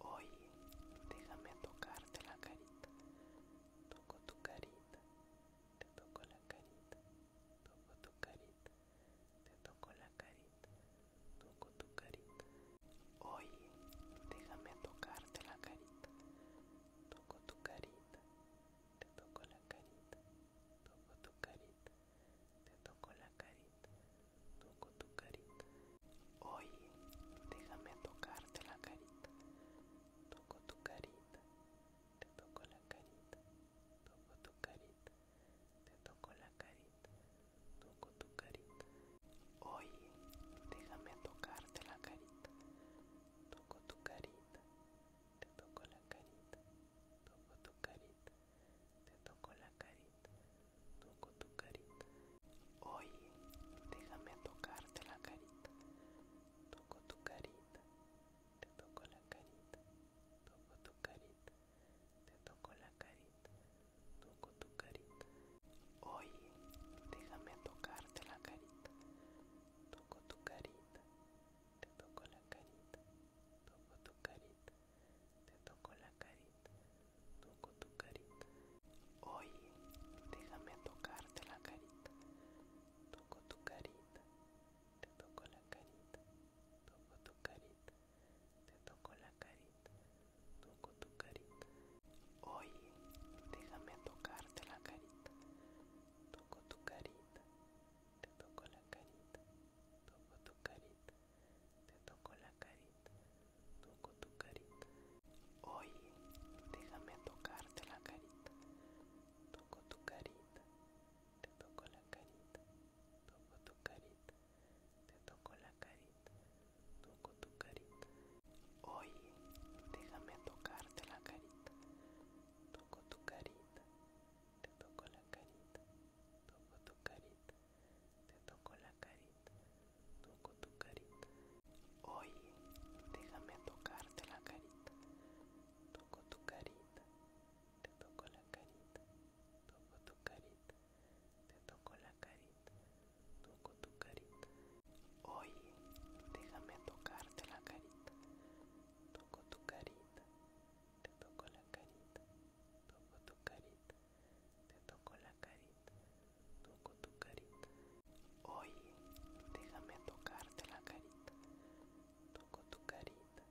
Hoy déjame tocarte la carita. Toco tu carita, te toco la carita, toco tu carita, te toco la carita, toco tu carita. hoy déjame tocarte la carita. Toco tu carita, te toco la carita, toco tu carita, te toco la carita. Toco tu carita. hoy déjame tocarte la carita. Toco tu carita. Te toco la carita. Toco tu carita. Te toco la carita. Toco tu carita. hoy déjame tocarte la carita. Toco tu carita. Te toco la carita. Toco tu carita. Te toco la carita, toco tu carita. hoy déjame tocarte la carita. Toco tu carita, te toco la carita, toco tu carita, te toco la carita, toco tu carita. hoy déjame tocarte la carita. Toco tu carita, te toco la carita, toco tu carita, te toco la carita. Toco tu carita. hoy déjame tocarte la carita. Toco tu carita. Te toco la carita. Toco tu carita. Te toco la carita. Toco tu carita. hoy déjame tocarte la carita. Toco tu carita. Te toco la carita toco tu carita, te toco la carita, toco tu carita. Oye, déjame tocarte la carita, toco tu carita, te toco la carita, toco tu carita, te toco la carita, toco tu carita. Oye, déjame tocarte la carita, toco tu carita, te toco la carita, toco tu carita. Te toco la carita, toco tu carita. hoy déjame tocarte la carita. Toco tu carita, te toco la carita, toco tu carita, te toco la carita, toco tu carita. hoy déjame tocarte la carita. Toco tu carita, te toco la carita, toco tu carita, te toco la carita, toco tu carita. hoy déjame tocarte la carita, toco tu carita,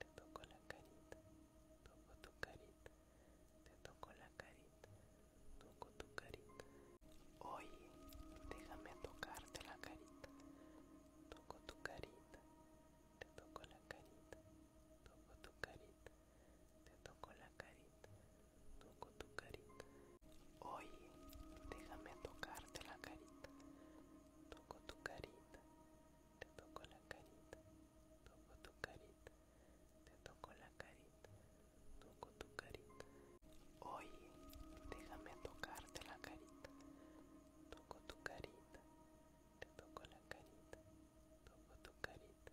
te toco la carita, toco tu carita, te toco la carita, toco tu carita. hoy déjame tocarte la carita, toco tu carita, te toco la carita, toco tu carita, te toco la carita, toco tu carita. hoy déjame tocarte la carita, toco tu carita, te toco la carita, toco tu carita, te toco la carita, toco tu carita. hoy déjame tocarte la carita, toco tu carita, te toco la carita, toco tu carita,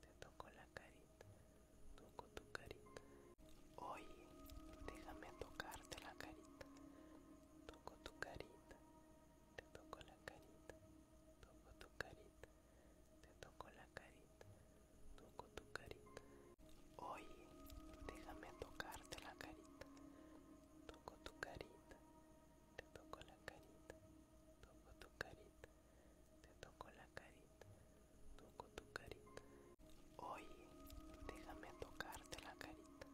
te toco la carita, toco tu carita. hoy déjame tocarte la carita, toco tu carita, te toco la carita, toco tu carita, te toco la carita, toco tu carita. hoy déjame tocarte la carita toco tu carita, te toco la carita, toco tu carita, te toco la carita, toco tu carita. hoy déjame tocarte la carita,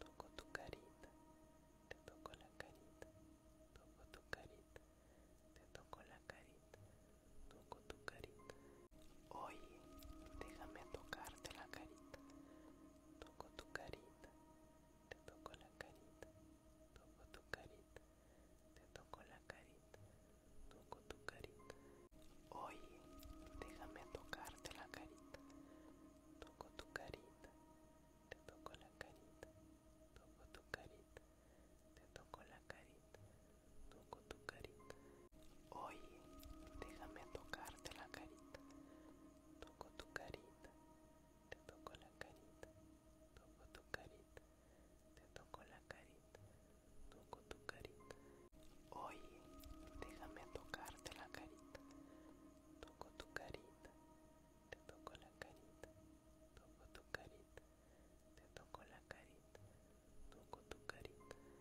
toco tu carita, te toco la carita, toco tu carita, te toco la carita, toco tu carita. Oye, déjame tocarte la carita, toco tu carita, te toco la carita, toco tu carita, te toco la carita, toco tu carita. Oye, déjame tocarte la carita, toco tu carita, te toco la carita, toco tu carita, te toco la carita, toco tu carita. Oye, déjame tocarte la carita. Toco tu carita, te toco la carita, toco tu carita, te toco la carita, toco tu carita. Oye, déjame tocarte la carita. Toco tu carita, te toco la carita, toco tu carita, te toco la carita, toco tu carita.